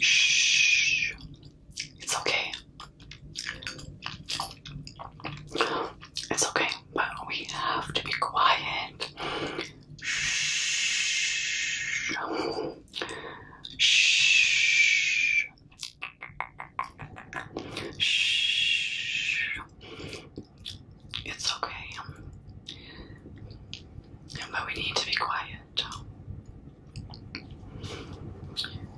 Shh. It's okay. It's okay, but we have to be quiet. Shh. Shh. Shh. It's okay. But we need to be quiet.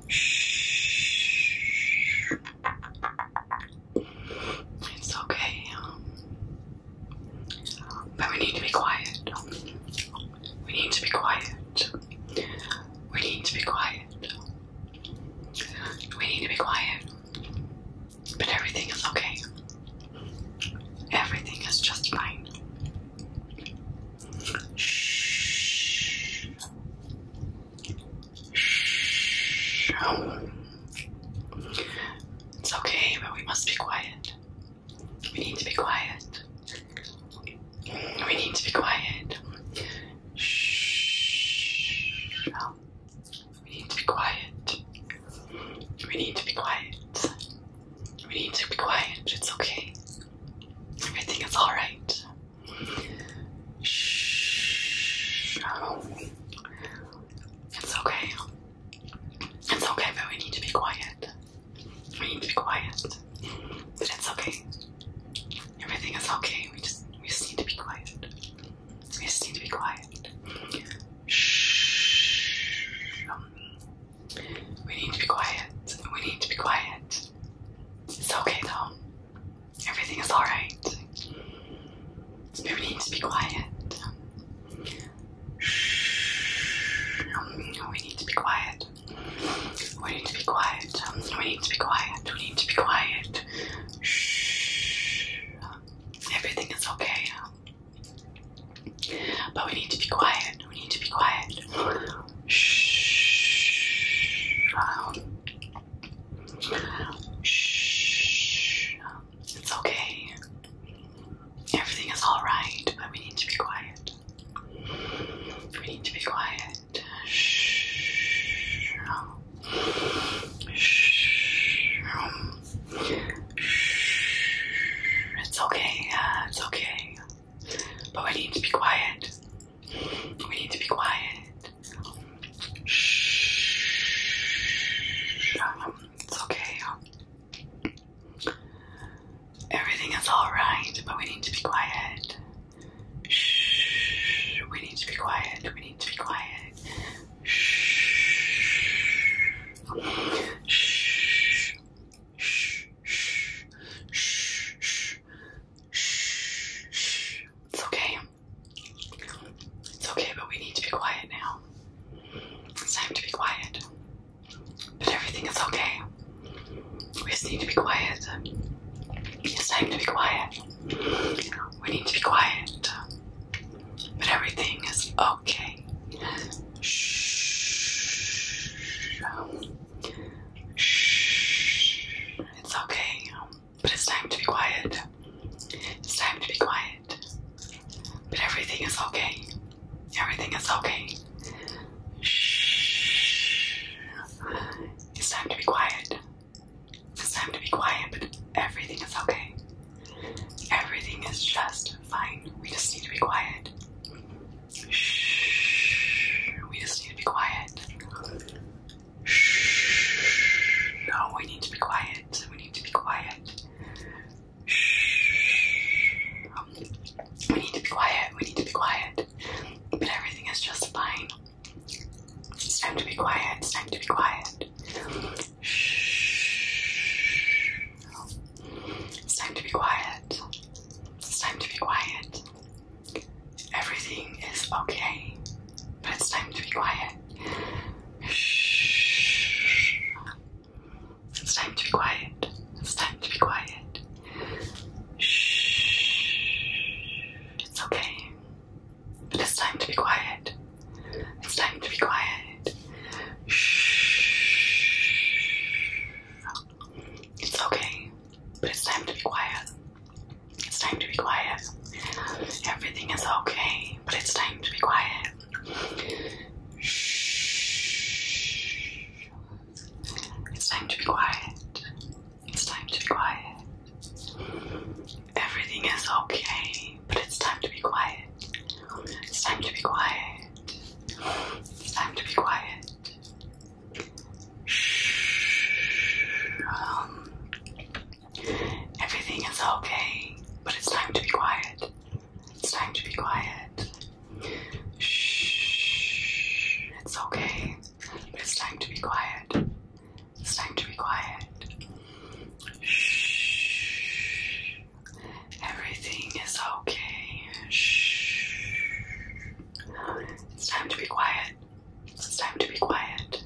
Shh. It's okay. Um, but we need to be quiet. We need to be quiet. We need to be quiet. We need to be quiet. But everything is okay. Everything is just fine. Shh. Shh. It's okay, but we must be quiet. We need to be quiet. We need to be quiet. Shh. We need to be quiet. We need to be quiet. We need to be quiet. It's okay. Everything is alright. Shh. It's okay. It's okay, but we need to be quiet. We need to be quiet. But it's okay. Everything is okay. We just we just need to be quiet. We just need to be quiet. Shh. we need to be quiet. We need to be quiet. It's okay though. Everything is alright. Nobody needs to be quiet. Shh. we need to be quiet. We need to be quiet. We need to be quiet. We need to be quiet. Shh. Everything is okay. But we need to be quiet. We need to be quiet. Shh. Shh. It's okay. Everything is alright, but we need to be quiet. We need to be quiet. Shh. Shh. Shh. It's okay, yeah, it's okay. But we need to be quiet. We need to be quiet. Shh. It's okay. Everything is alright, but we need to be quiet. Shh. We need to be quiet. We need to be quiet. Shh. Shh. Shh. Shh. Shh. Shh. Shh. It's okay. It's okay, but we need to be quiet now. It's time to be quiet. But everything is okay. We just need to be quiet. It's time to be quiet. We need to be quiet. But everything is okay. Shh. Shh. It's okay. But it's time to be quiet. It's time to be quiet. But everything is okay. Everything is okay. Shh. It's time to be quiet. It's time to be quiet, but everything is okay. Everything is just fine. We just need to be quiet. Shh. We just need to be quiet. Shh. No, we need to be quiet. We need to be quiet quiet. Shh. We need to be quiet. We need to be quiet. But everything is just fine. It's time to be quiet. It's time to be quiet. Shh. It's time to be quiet. It's time to be quiet. Everything is okay, but it's time to be quiet. Shh. It's time to be quiet. It's time to be quiet. Shh. It's okay. It is time to be quiet. It's time to be quiet. Shh. It's okay, but it's time to be quiet. It's time to be quiet. Everything is okay, but it's time to be quiet. Shh. It's time to be quiet. It's time to be quiet. Everything is okay, but it's time to be quiet. It's time to be quiet. It's time to be quiet. Shh. Um, Everything is okay, but it's time to be quiet. It's time to be quiet. Shh. It's okay, but it's time to be quiet. It's time to be quiet. Shh. Everything is okay. Shh. It's time to be quiet. It's time to be quiet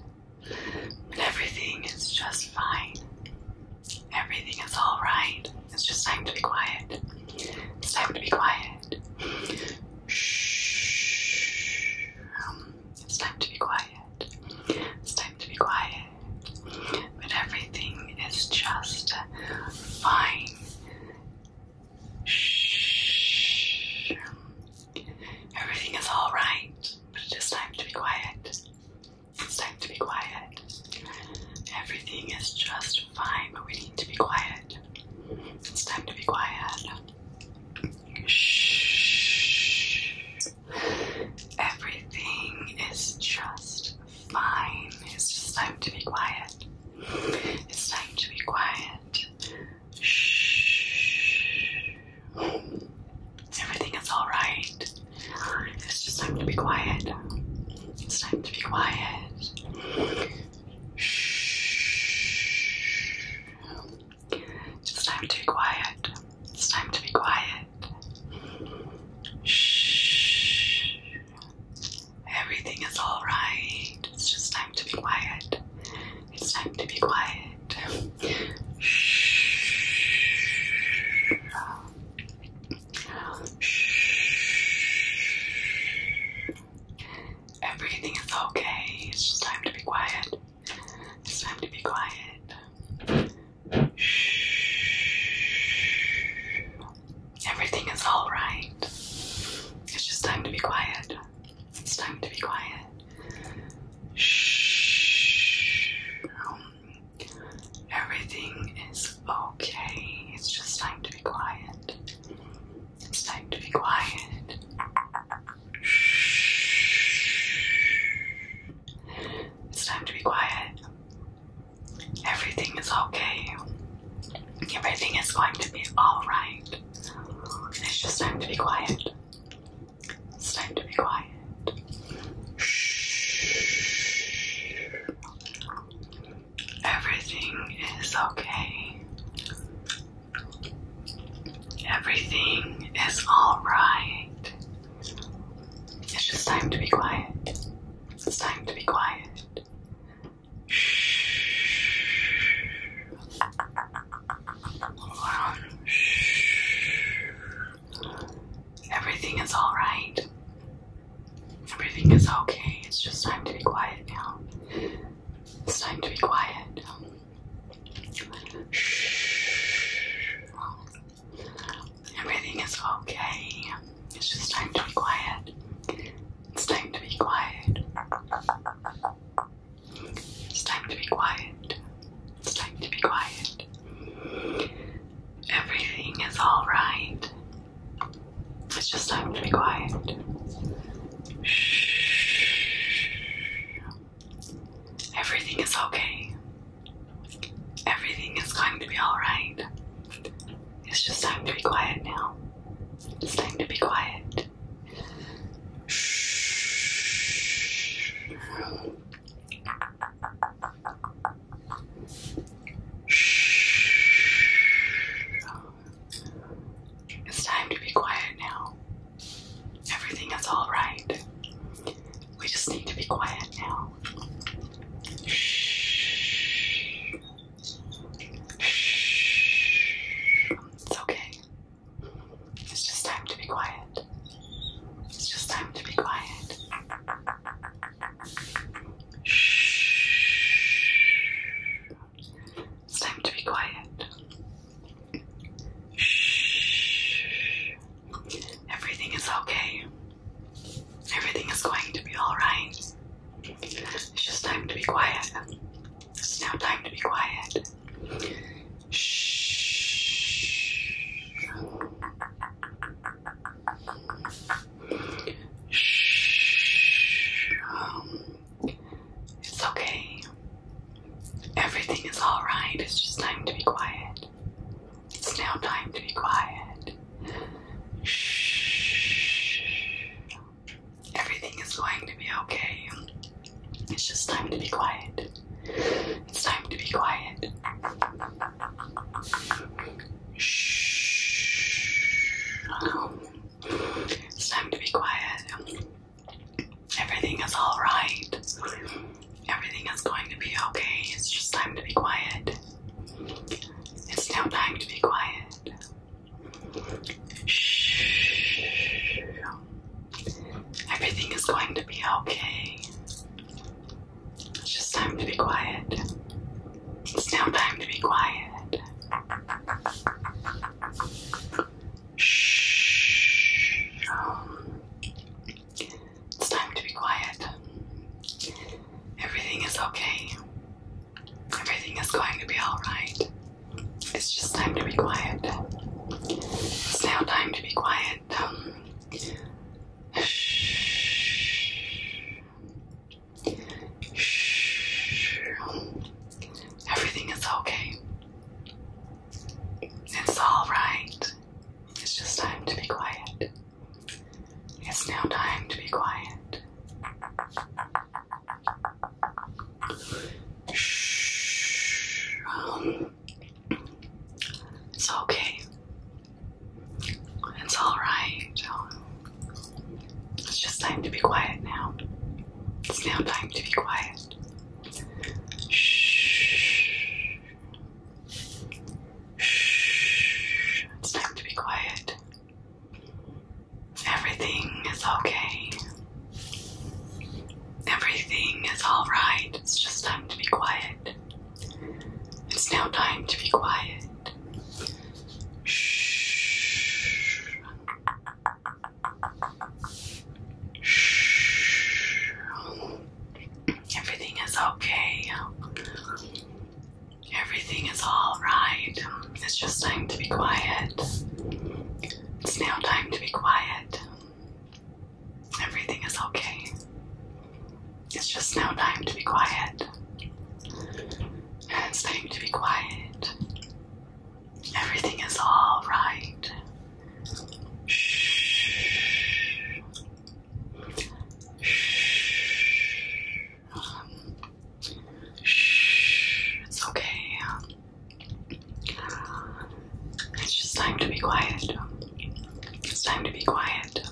everything is just fine. Everything is alright. It's just time to be quiet. It's time to be quiet. Shh. it's time to be quiet. It's time to be quiet. But everything is just fine. Shh. Everything is alright, but it is time to be quiet. It's time to be quiet. Everything is just fine, but we need to be quiet. It's time to be quiet. Shh. Everything is just fine. It's just time to be quiet. It's time to be quiet. Shh. Everything is alright. It's just time to be quiet. It's time to be quiet. Shh. It's time to be quiet. It's time to be quiet. Shh. Everything is alright. It's just time to be quiet. It's time to be quiet. Shh. Shh. Everything is okay. It's just time to be quiet. It's time to be quiet. Shh. Everything is alright. It's just time to be quiet. It's time to be quiet. Shh. Um, everything is okay. It's just time to be quiet. It's time to be quiet. Shh. It's time to be quiet. Everything is okay. Everything is going to be alright. It's just time to be quiet. It's time to be quiet. Shh. Everything is okay. Everything is alright. It's just time to be quiet. It's time to be quiet. Shh. Everything is alright. Everything is okay. It's just time to be quiet now. It's time to be quiet. Shh. Everything is okay. It's just time to be quiet. It's time to be quiet. It's time to be quiet. It's time to be quiet. Everything is alright. It's just time to be quiet. Shh. Everything is okay. Everything is going to be alright. It's just time to be quiet now. It's time to be quiet. Shh. It's time to be quiet now. Everything is all right. We just need to be quiet now. Shh. Shh. It's okay. It's just time to be quiet. It's just time to be quiet. Shh. It's time to be quiet. Shh. Everything is okay. Everything is going to be alright. It's just time to be quiet. It's now time to be quiet. Shh. Shh. Um, it's okay. Everything is all right. It's just time to be quiet. It's now time to be quiet. Shh. Everything is going to be okay. It's just time to be quiet. It's time to be quiet. Shh. It's time to be quiet. Everything is alright. Everything is going to be okay. It's just time to be quiet. It's now time to be quiet. Shh. Everything is going to be okay. It's just time to be quiet. It's now time to be quiet. Shh. Um, it's time to be quiet. Everything is okay. Everything is going to be alright. It's just time to be quiet. It's now time to be quiet. shh. Um, shh. Everything is okay. It's all right. It's just time to be quiet. It's now time to be quiet. Shh. it's okay. It's alright. It's just time to be quiet now. It's now time to be quiet. Shh. Shh. It's time to be quiet. Everything is okay. Everything is alright. It's just time to be quiet. It's now time to be quiet. Shh. Shh. Everything is okay. Everything is alright. It's just time to be quiet. It's now time to be quiet. Everything is okay. It's just now time to be quiet. it's time to be quiet. Everything is all right. Shh. Shh. Um, shh. It's okay. It's just time to be quiet. It's time to be quiet.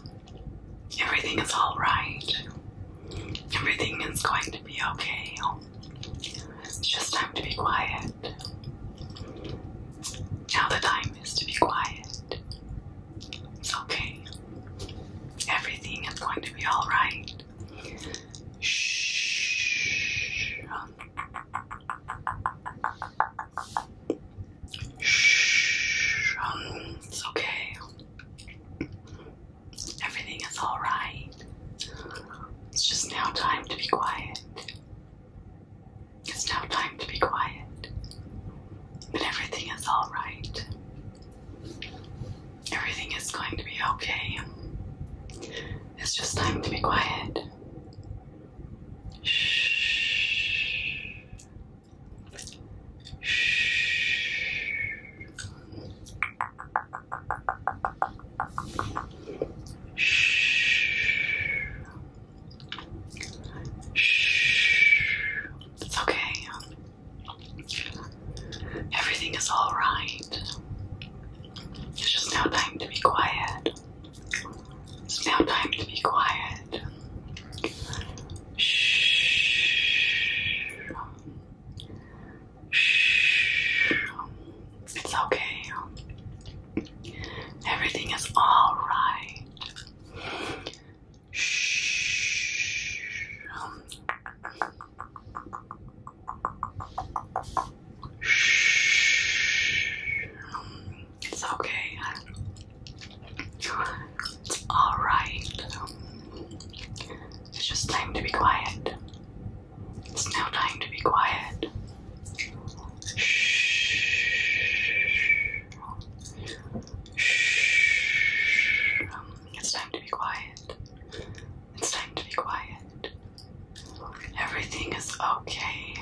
Everything is alright. Everything is going to be okay. It's just time to be quiet. Now the time is to be quiet. It's okay. Everything is going to be alright. Shh. Shh. it's okay. Everything is all right. It's just now time to be quiet. It's now time to be quiet. But everything is all right. Everything is going to be okay. It's just time to be quiet. Shh. Shh. Shh. Shh. It's okay. Everything is alright. It's just now time to be quiet. It's now time to be quiet. Shh. Shh. It's okay. Everything is alright. Shh. Shh. It's okay. It's alright. It's just time to be quiet. It's now time to be quiet. Shh. Shh. It's time to be quiet. It's time to be quiet. Everything is okay.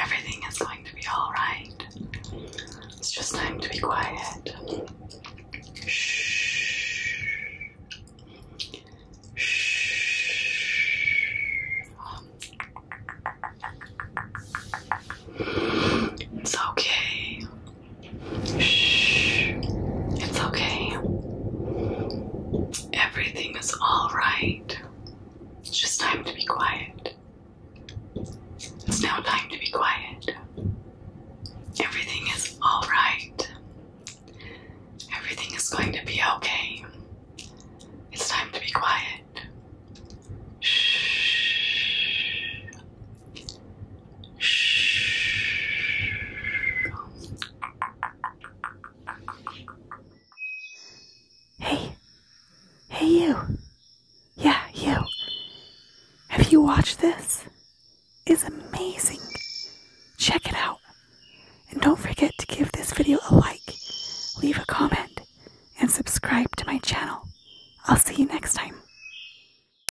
Everything is going to be alright. It's just time to be quiet. Shh. Shh. It's okay. Shh. It's okay. Everything is all right. It's just time to be quiet. It's now time to be quiet. Everything is all right. Everything is going to be okay. It's time to be quiet. Shh. Hey, hey, you. Yeah, you. Have you watched this? It's amazing. Check it out. And don't forget to give this video a like, leave a comment, and subscribe to my channel. I'll see you next time.